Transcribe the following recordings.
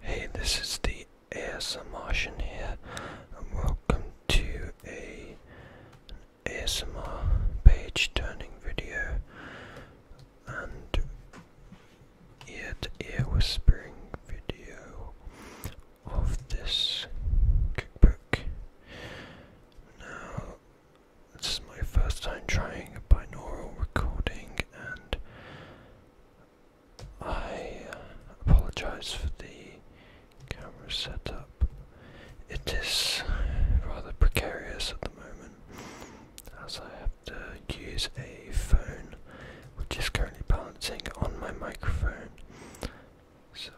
Hey, this is the ASM Martian here, and welcome to a ASMR page turning video and ear ear whispering video of this cookbook. Now, this is my first time trying a binaural recording, and I um, apologize for the camera setup. It is rather precarious at the moment as I have to use a phone which is currently balancing on my microphone. So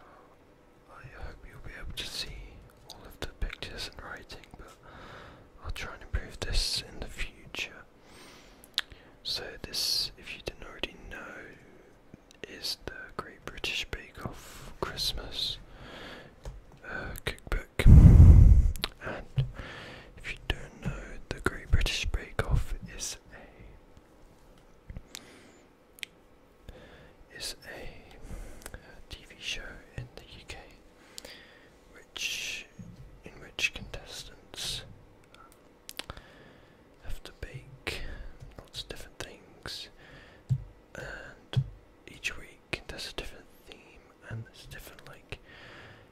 I hope you'll be able to see all of the pictures and writing, but I'll try and improve this in the future. So this, if you didn't already know, is the Great British Bake Off Christmas uh, cookbook. And if you don't know, the Great British Bake Off is a is a uh, TV show in the UK which in which contestants have to bake lots of different things, and each week there's a different theme and there's different like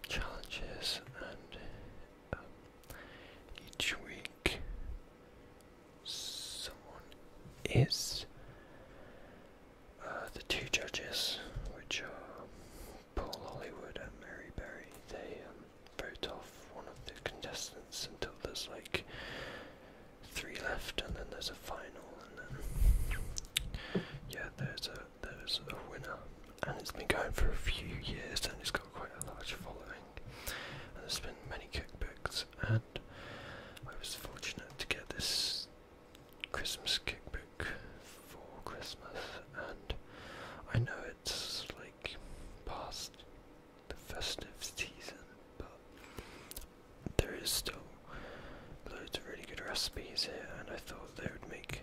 challenges, and um, each week someone is. Uh, the two judges, which are Paul Hollywood and Mary Berry, they um, vote off one of the contestants until there's like three left, and then there's a final, and then yeah, there's a there's a winner, and it's been going for a few years, and it's got quite a large following, and there's been many cookbooks, and I was fortunate to get this Christmas cookbook for Christmas, and I know it's like past the festive season, but there is still loads of really good recipes here, and I thought they would make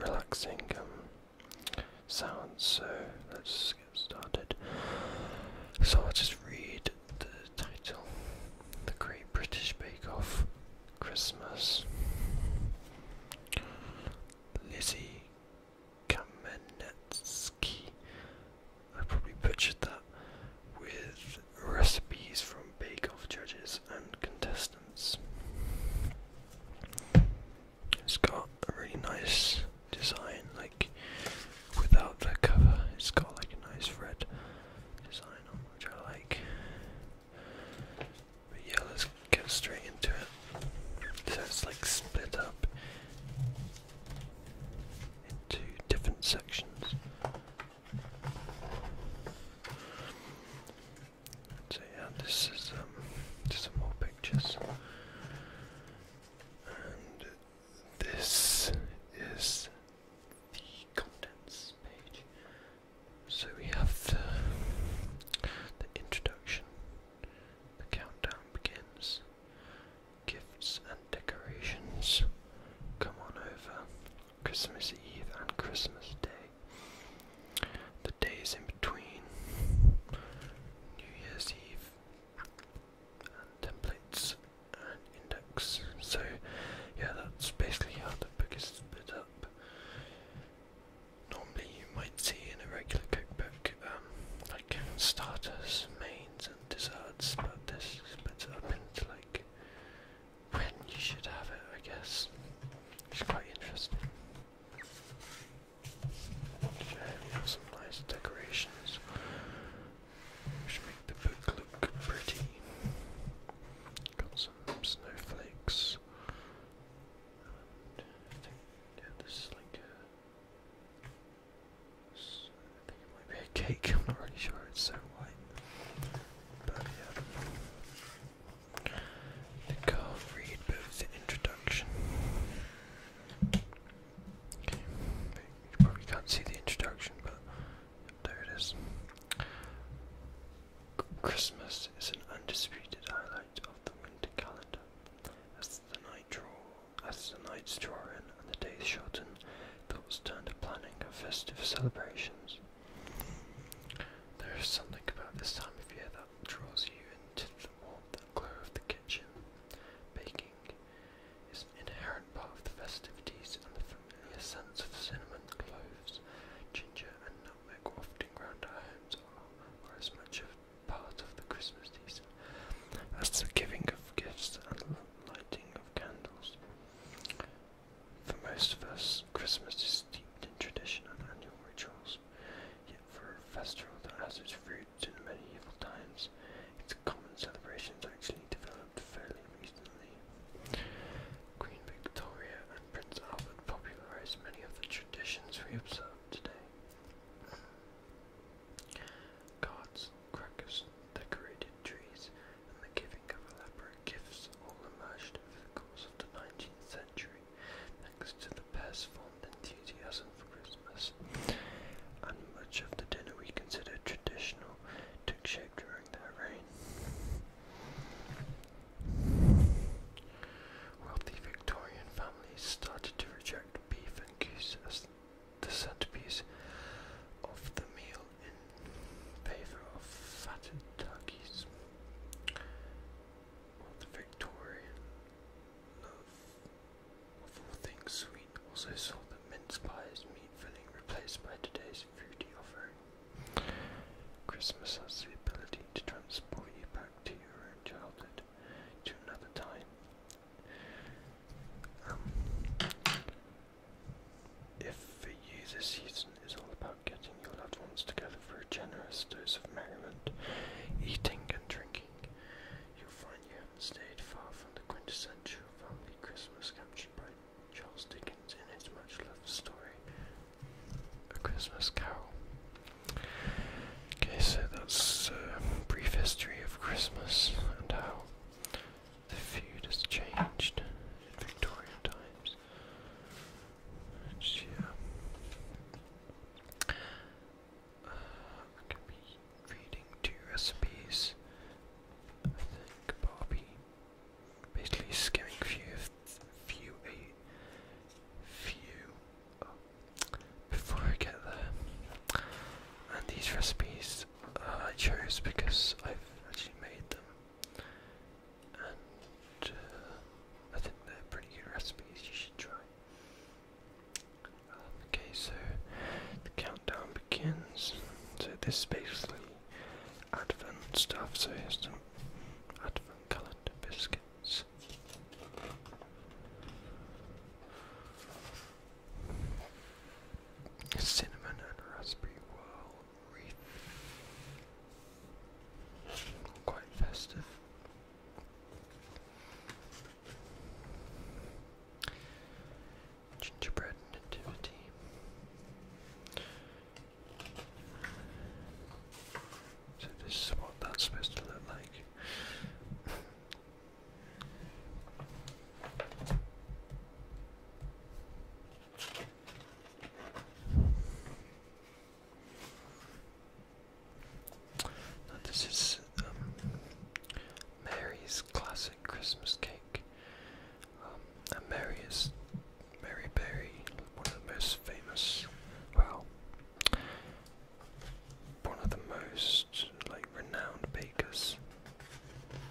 relaxing um, sounds. So let's get started. So I'll just read the title: The Great British Bake Off. Christmas. Lizzie Kamenetsky. I probably butchered that with recipes from Bake Off judges and contestants. It's got a really nice design, like without the cover, it's got like a nice red design on which I like. But yeah, let's get straight into it. So it's like split up into different sections. So yeah, this is um, just some more pictures. And this is the contents page. So we have the, introduction. The countdown begins. Gifts and decorations. Come on over. Christmas Eve and Christmas Day. The days in between. New Year's Eve. And templates and index. So, yeah, that's basically how the biggest bit of. Normally, you might see in a regular cookbook um, like starters, mains, and desserts, but this splits it up into like when you should have it, I guess. it's quite interesting. we have some nice decorations which make the book look pretty. Got some snowflakes, I think this is like uh, I think it might be a cake. am not really sure. It's so white, but yeah. I can't read introduction. you probably can't see the introduction, but there it is. Christmas is an undisputed highlight of the winter calendar. As the night draw, as the nights draw in and the days shorten, thoughts turn to planning of festive celebrations. There is something about this time of year that draws you into the warmth and glow of the kitchen. Baking is an inherent part of the festivities, and the familiar scents of cinnamon, cloves, ginger, and milk wafting round our homes are, as much a part of the Christmas season as the giving of gifts and lighting of candles. For most of us, Christmas is steeped in tradition and annual rituals, yet for a festival that has its roots in medieval times, its common celebrations actually developed fairly recently Queen Victoria and Prince Albert popularized many of the traditions we observe today. Cards, crackers, decorated trees, and the giving of elaborate gifts all emerged over the course of the 19th century, thanks to the pair's fond enthusiasm for Christmas. And much of the dinner we consider traditional took shape during their reign. Wealthy Victorian families started to reject beef and goose as the centerpiece of the meal in favor of fatted turkeys. While the Victorian love of things sweet also saw the mince pies meat filling replaced by today's fruity offering. Christmas has the ability to transport you back to your own childhood, to another time. Um, if for you this season is all about getting your loved ones together for a generous dose of merriment, eating and drinking, you'll find you haven't stayed far from the quintessential family Christmas captured by Charles Dickens in his much loved story, A Christmas Carol. Okay, so that's a uh, brief history of Christmas and how the feud has changed in Victorian times. Which, yeah. Uh, I can be reading two recipes. I think Barbie basically skimming few few eight few oh, before I get there. And these recipes uh, I chose because I've actually made them, and uh, I think they're pretty good recipes. You should try. Um, okay, so the countdown begins. So this is basically advent stuff, so here's some advent coloured biscuits. Cinnamon and raspberry whirl wreath. Quite festive. Gingerbread nativity. So this is what that's supposed to look like. this is um, Mary's classic Christmas cake. Um, Mary is Mary Berry, one of the most famous, well, one of the most like renowned bakers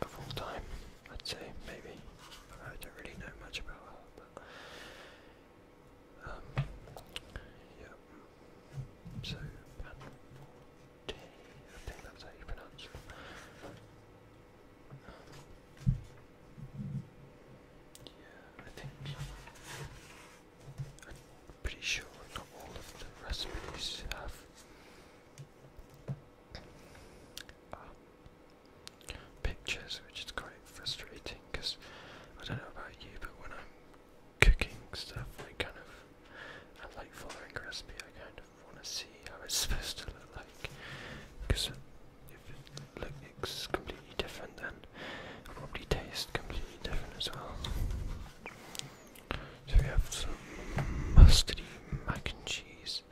of all time, I'd say, maybe. I don't really know much about her, but. Um, yeah. So, Pante, think that's how you pronounce it. I think I'm pretty sure not all of the recipes have uh, pictures, which is quite frustrating because I don't know about you, but when I'm cooking stuff, I kind of I like following a recipe. I kind of want to see how it's supposed to look like because if it looks completely different then probably tastes completely different as well. So we have some mustardy mac and cheese.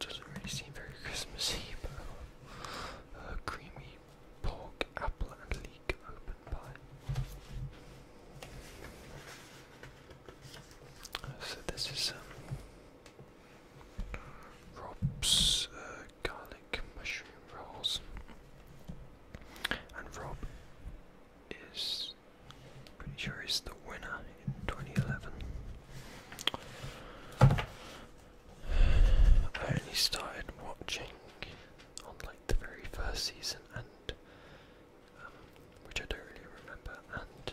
Doesn't really seem very Christmassy, but uh, creamy pork, apple and leek open pie. So this is some. Um, Rob's uh, garlic mushroom rolls. And Rob is pretty sure he's the winner in 2011. I only started watching on like the very first season, and um, which I don't really remember, and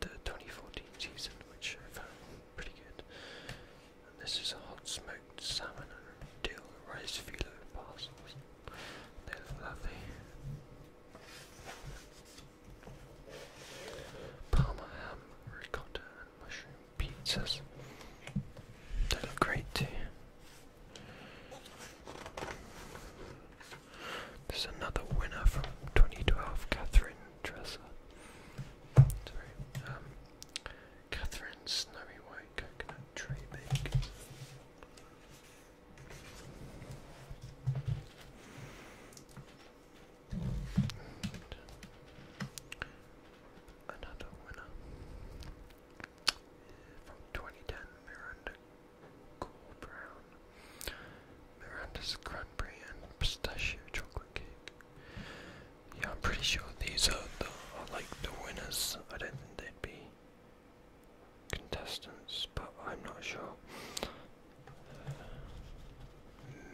the 2014 season, which I found pretty good. this is a hot smoked salmon and dill rice filo parcels. They lovely. Parma ham, ricotta, and mushroom pizzas. They look great too. There's another winner from 2012, Catherine Tressa. Sorry. Um, Catherine Snowy White Coconut Tree Bake. another winner from 2010, Miranda Cool Brown. Miranda's cranberry and pistachio chocolate cake. Yeah, I'm pretty sure these are, the, like the winners. I don't think they'd be contestants, but I'm not sure.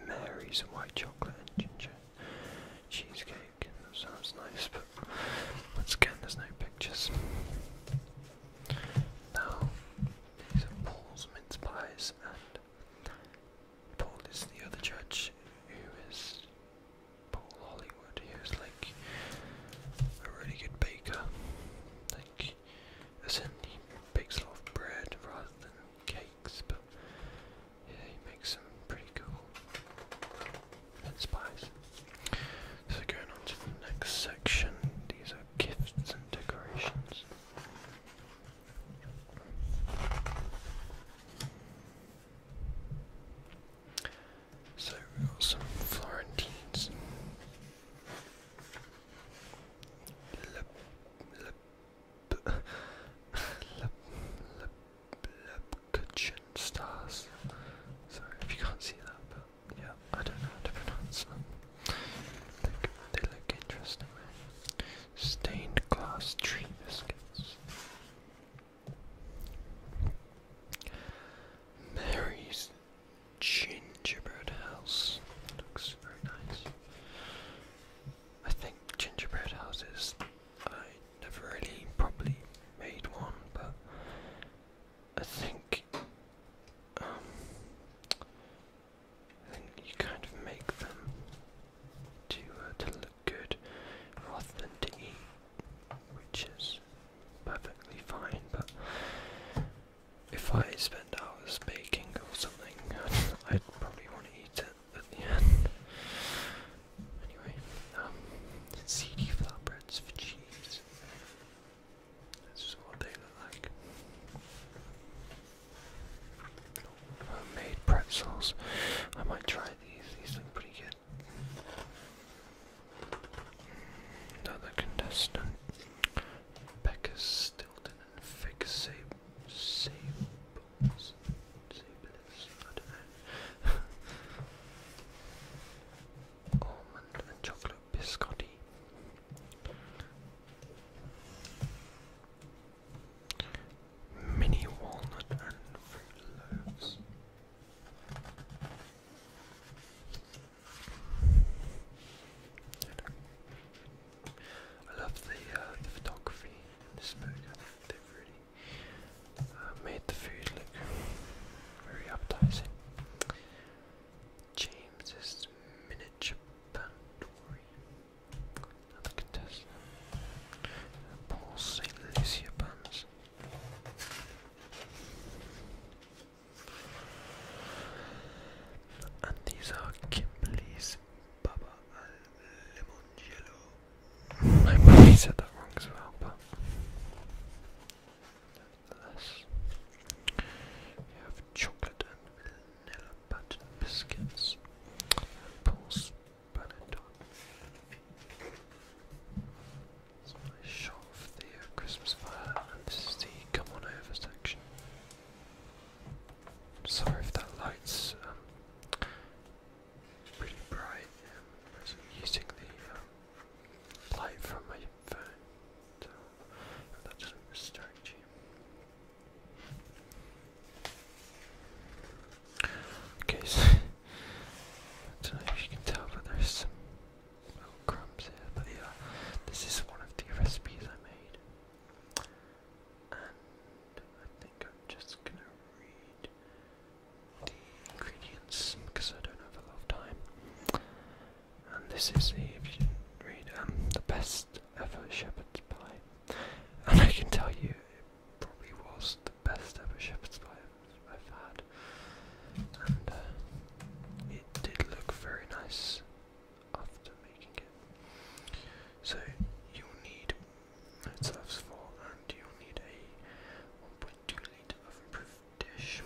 Mary's white chocolate and ginger cheesecake. sounds nice, but once again, there's no pictures. Now, these are Paul's mince pies and Paul is the other judge, who is Paul Hollywood, who's like a really good baker. Like, as in, he bakes a lot of bread rather than cakes, but yeah, he makes some pretty cool and spies. So going on to the next section, these are gifts and decorations. So we got some Florentines. Le, le, le, le, le, Lepkachin stars. Sorry if you can't see that, but yeah, I don't know how to pronounce them. They, look interesting. Stained glass tree biscuits. Mary's gingerbread house. Looks very nice. I think gingerbread houses, I never really probably made one, but I think um, and you kind of make them to uh, to look good rather than to eat, which is perfectly fine. But if I spend hours baking or something, I'd, probably want to eat it at the end. Anyway, um, flatbreads for cheese. This is what they look like. Homemade pretzels. I might try these. These look pretty good. Another contestant. Becca Stilton and Fig Sab I don't know. Almond and chocolate biscotti. Mini walnut and fruit loaves. I love the, uh, the photography in this book. I they've really uh, made the food look very appetizing. James's miniature Pandori. Another contestant. Paul St. Lucia Buns. And these are Kimberly's Baba al Limongelo. I probably said that wrong as well, but nevertheless. We have chocolate vanilla button biscuits, my shot of the Christmas fire, and this is the come on over section. Sorry if that light's pretty um, bright. Um, I'm using the um, light from my phone, so that doesn't distract Okay, so if you can tell, but there's some crumbs here. But yeah, this is one of the recipes I made, and I think I'm just gonna read the ingredients because I don't have a lot of time. And this is the, read, um, the best ever shepherd's pie. And I can tell you, it probably was the best ever shepherd's pie I've, had. And uh, it did look very nice after making it. So you'll need, it serves four, and you'll need a 1.2 litre dish,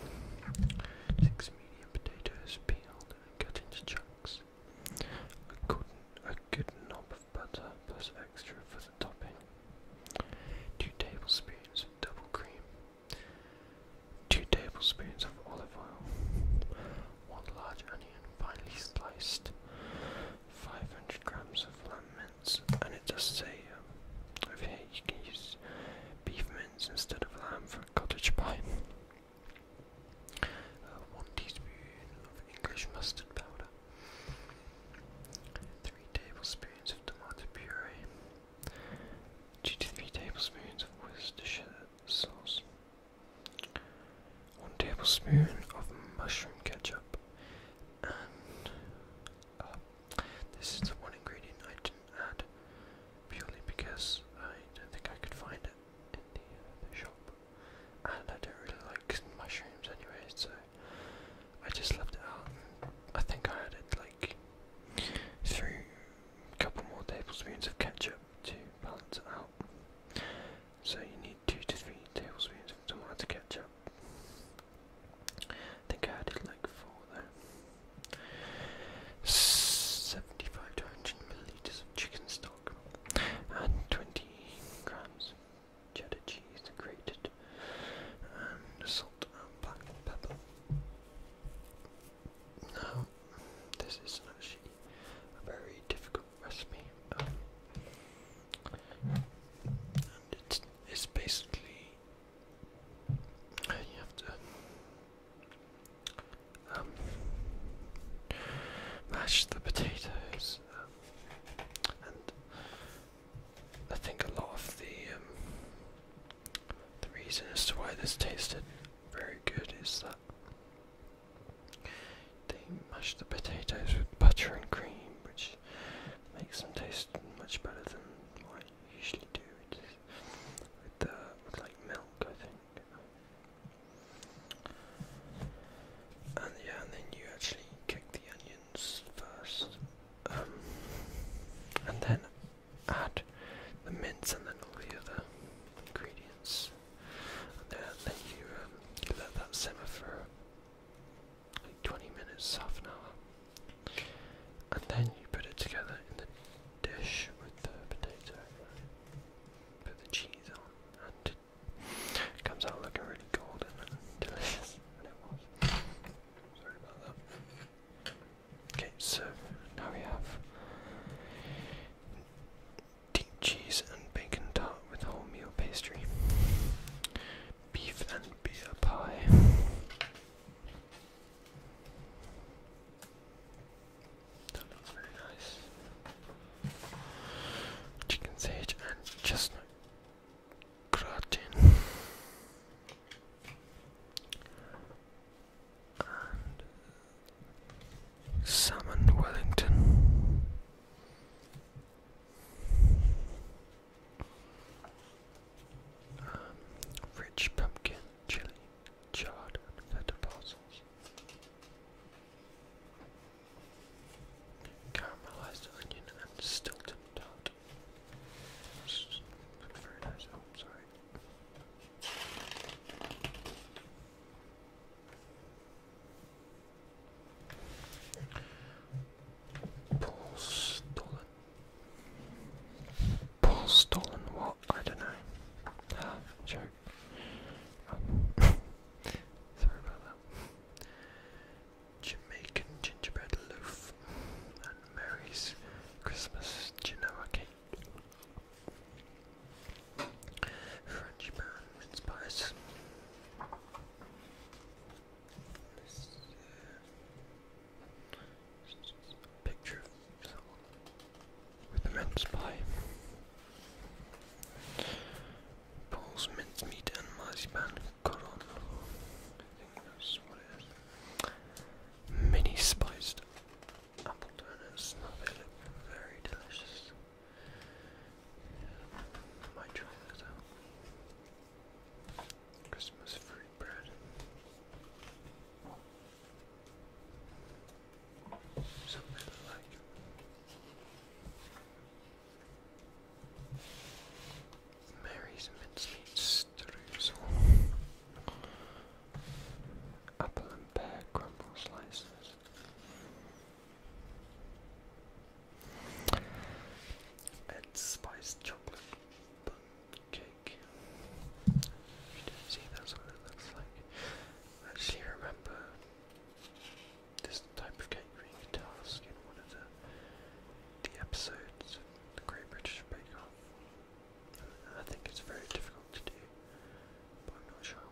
six medium potatoes peeled and cut into chunks, a good, a good knob of butter plus extra for the topping. Two tablespoons of double cream. Two tablespoons of olive oil. One large onion, finely sliced. 500 grams of lamb mince, and it does say um, you can use beef mince instead of lamb for cottage pie. Uh, one teaspoon of English mustard powder, three tablespoons of tomato puree, two to three tablespoons of Worcestershire sauce, one tablespoon of mushroom ketchup, and uh, this is the one ingredient I didn't add purely because I don't think I could find it in the uh, shop and I don't really like mushrooms anyway, so I just left it out. I think I added like through a couple more tablespoons of ketchup to balance it out. So you need two to three tablespoons of tomato ketchup. I think I added like four though. Seventy-five hundred millilitres of chicken stock and 20 king cheddar cheese grated, and um, salt and black pepper. Now, this is actually a very difficult recipe, um, it's, it's basically you have to um, mash the potatoes, um, and I think a lot of the um, the reason as to why this tasted very good is that they mashed the potatoes with butter and cream, which makes them taste much better than what I usually do with, with, uh, with like milk, I think. And yeah, and then you actually kick the onions first, um, and then add the mince and then all the other ingredients. And then, you um, let that simmer for like 20 minutes, half an hour, and then you put it together in the dish with the potato. Put the cheese on and it comes out looking really golden and delicious, and it was. Sorry about that. Okay, so now we have deep cheese and bacon tart with wholemeal pastry, beef and beer pie. Chicken sage and chestnut gratin. And salmon Wellington. Um, rich pumpkin chili, chard, and potato parcels. Caramelized onion and Stilton tart. That's very nice. Oh, sorry. Paul Stolen. Paul Stolen what? I don't know. Ah, joke. Jamaican gingerbread loaf Mary's Christmas Genoa cake. French pan mince This is a picture with a mince pie. Paul's mincemeat, and marzipan. Codon. I think Mini spiced apple donuts. very delicious. Might try those Christmas fruit bread. Something like Mary's mincemeat streusel. Apple and pear crumble slices. And spice chocolate bun cake. you did see that's what it looks like. actually remember this type of cake catering task in one of the, the episodes of the Great British Bake Off. I think it's very difficult to do, but I'm not sure.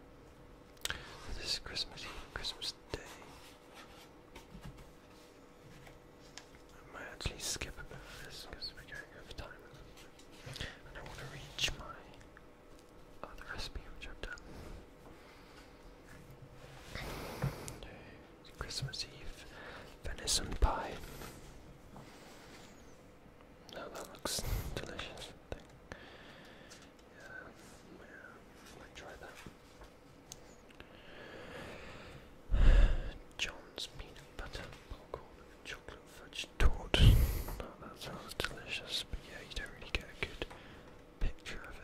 this is Christmas Eve, Christmas Day. I might actually skip a bit of this because we're going over time. And I want to reach my uh, the recipe which I've done. Christmas Eve venison pie. Oh, that looks delicious. Yeah, yeah, might try that. John's peanut butter popcorn and chocolate fudge tort. Oh, that sounds delicious, but yeah, you don't really get a good picture of it.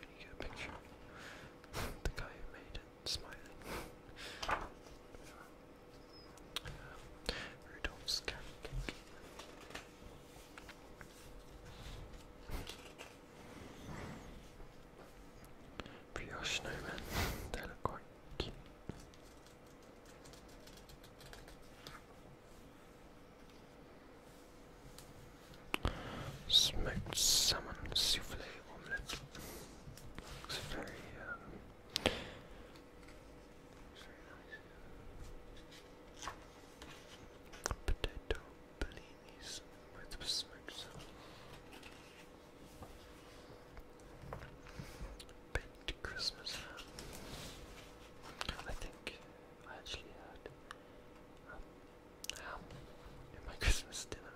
you get a picture the guy who made it smiling. um, Rudolph's carrot they look quite cute. Smoked salmon souffle omelette. Looks very, um, very nice. Potato bellinis with smoked salmon. Baked Christmas I think I actually had um, ham in my Christmas dinner,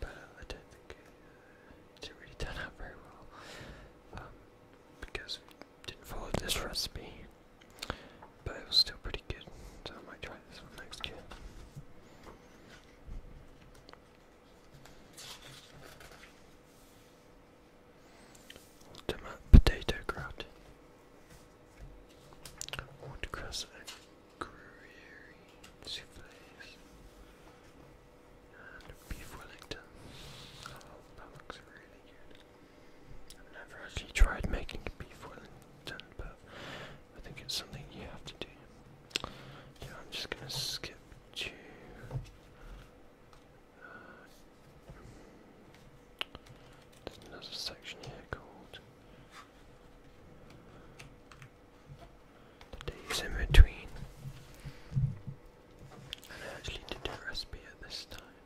but uh, I don't think it, uh, out very well um, because we didn't follow this recipe. But it was still pretty good, so I might try this one next year. Tomato potato grout. Watercress and gruyere And beef Wellington. Oh, that looks really good. I've never actually tried making beef Wellington, but I think it's something you have to do. Yeah, I'm just gonna skip to there's another section here called the days in between. And I actually did a recipe at this time.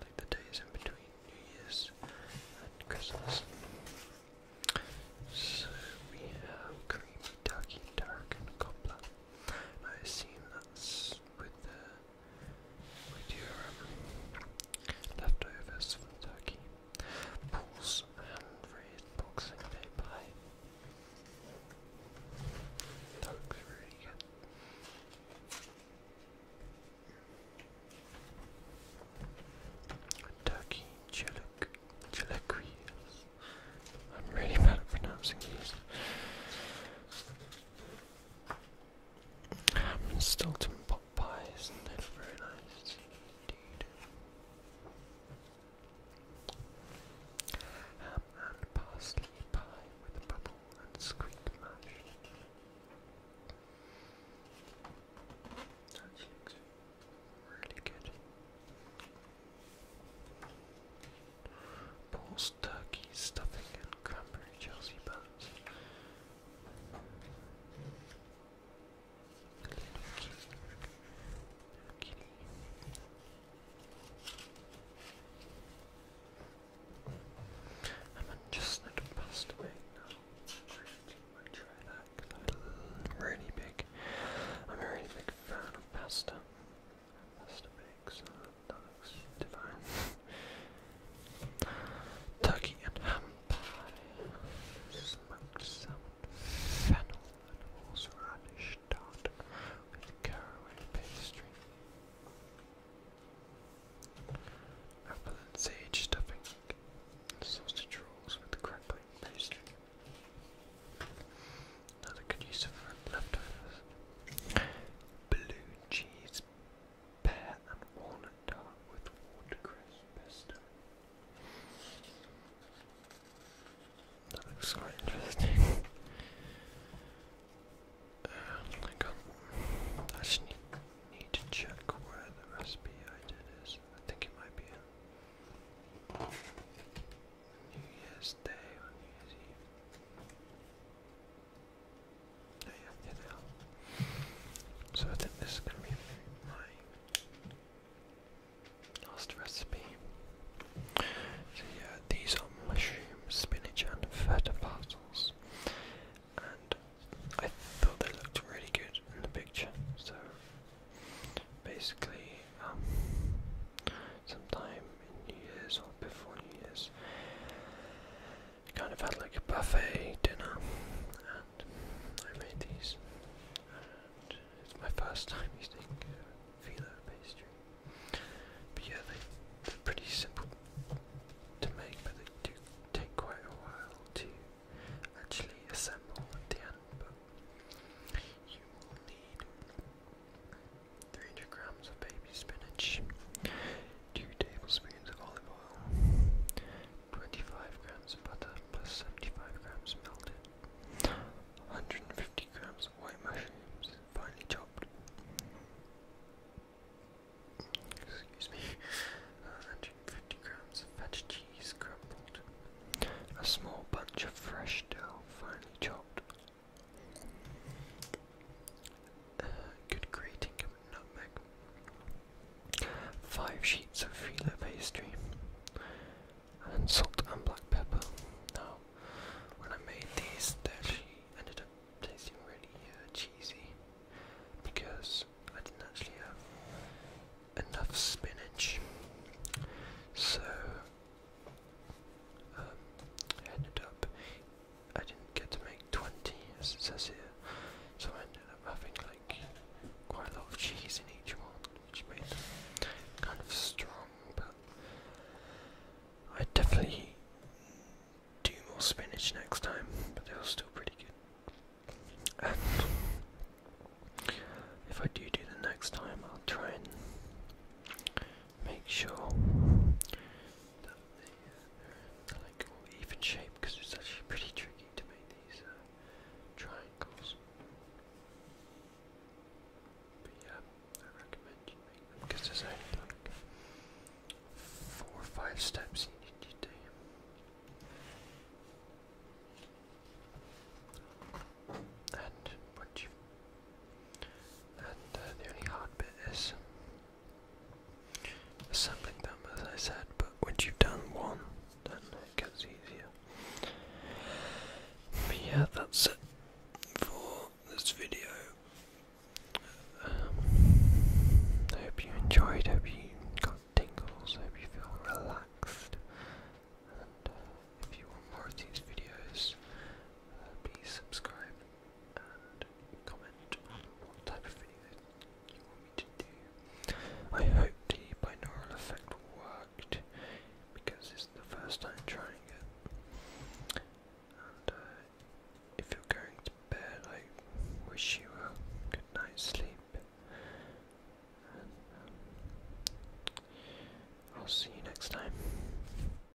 Like the days in between New Year's and Christmas. So we have creamy, darky, dark, and cobbler. I assume that's with the with your leftovers from Turkey. Paul's hand-raised boxing day looks really good. Turkey, chilaquiles, I'm really bad at pronouncing these. Ham and Stilton pot very nice indeed. Ham and parsley pie with a bubble and squeak mash. really good. Pulls turkey, stuffing, and cranberry Chelsea buns. I'm just not passed away now. I try that I'm really big. I'm a really big fan of pasta. Mr. Biggs, uh, that looks divine. Turkey and ham pie, smoked salmon, fennel and horseradish tart with caraway pastry. Apple and sage stuffing, sausage rolls with crackling pastry. Another good use of leftovers. Blue cheese, pear and walnut tart with watercress pesto. That looks quite interesting. Um, I need, to check where the recipe I did is. I think it might be New Year's Day or New Year's Eve. No, yeah, yeah, So I think this is going to be my last recipe. So yeah, these are mushroom, spinach and feta parcels. And I thought they looked really good in the picture, so basically um, sometime in New Year's before New Year's. Kind of had like a buffet dinner, and I made these. And it's my first time using uh, filo pastry. But yeah, they, they're pretty simple to make, but they do take quite a while to actually assemble at the end. But you will need 300 grams of baby spinach, 2 tablespoons of olive oil, 25 grams of butter plus 75 grams melted, 150 grams of white mushrooms, finely chopped, excuse me, 150 grams of feta cheese crumbled, a small bunch of fresh dough finely chopped, uh, good grating nutmeg. Five sheets of filo pastry. And salt and black pepper. Now, when I made these, they actually ended up tasting really uh, cheesy because I didn't actually have enough spinach. So I um, ended up, I didn't get to make 20 as it says here, so I ended up having like quite a lot of cheese in each one, which made them kind of strong, but I definitely do more spinach next time, but they're still pretty good. And um, if I do do the next time, I'll try and make sure that they're uh, like even shape because it's actually pretty tricky to make these uh, triangles. But yeah, I recommend you make them because there's only like four or five steps you need to do. And once you and uh, the only hard bit is assembling them, as I said, but once you've done one, then it gets easier. But yeah, that's it for this video. Um, I hope you enjoyed, hope you got tingles, hope you feel relaxed. And uh, if you want more of these videos, uh, please subscribe. I hope the binaural effect worked because it's the first time trying it. And uh, if you're going to bed, I wish you a good night's sleep. Um, I'll see you next time.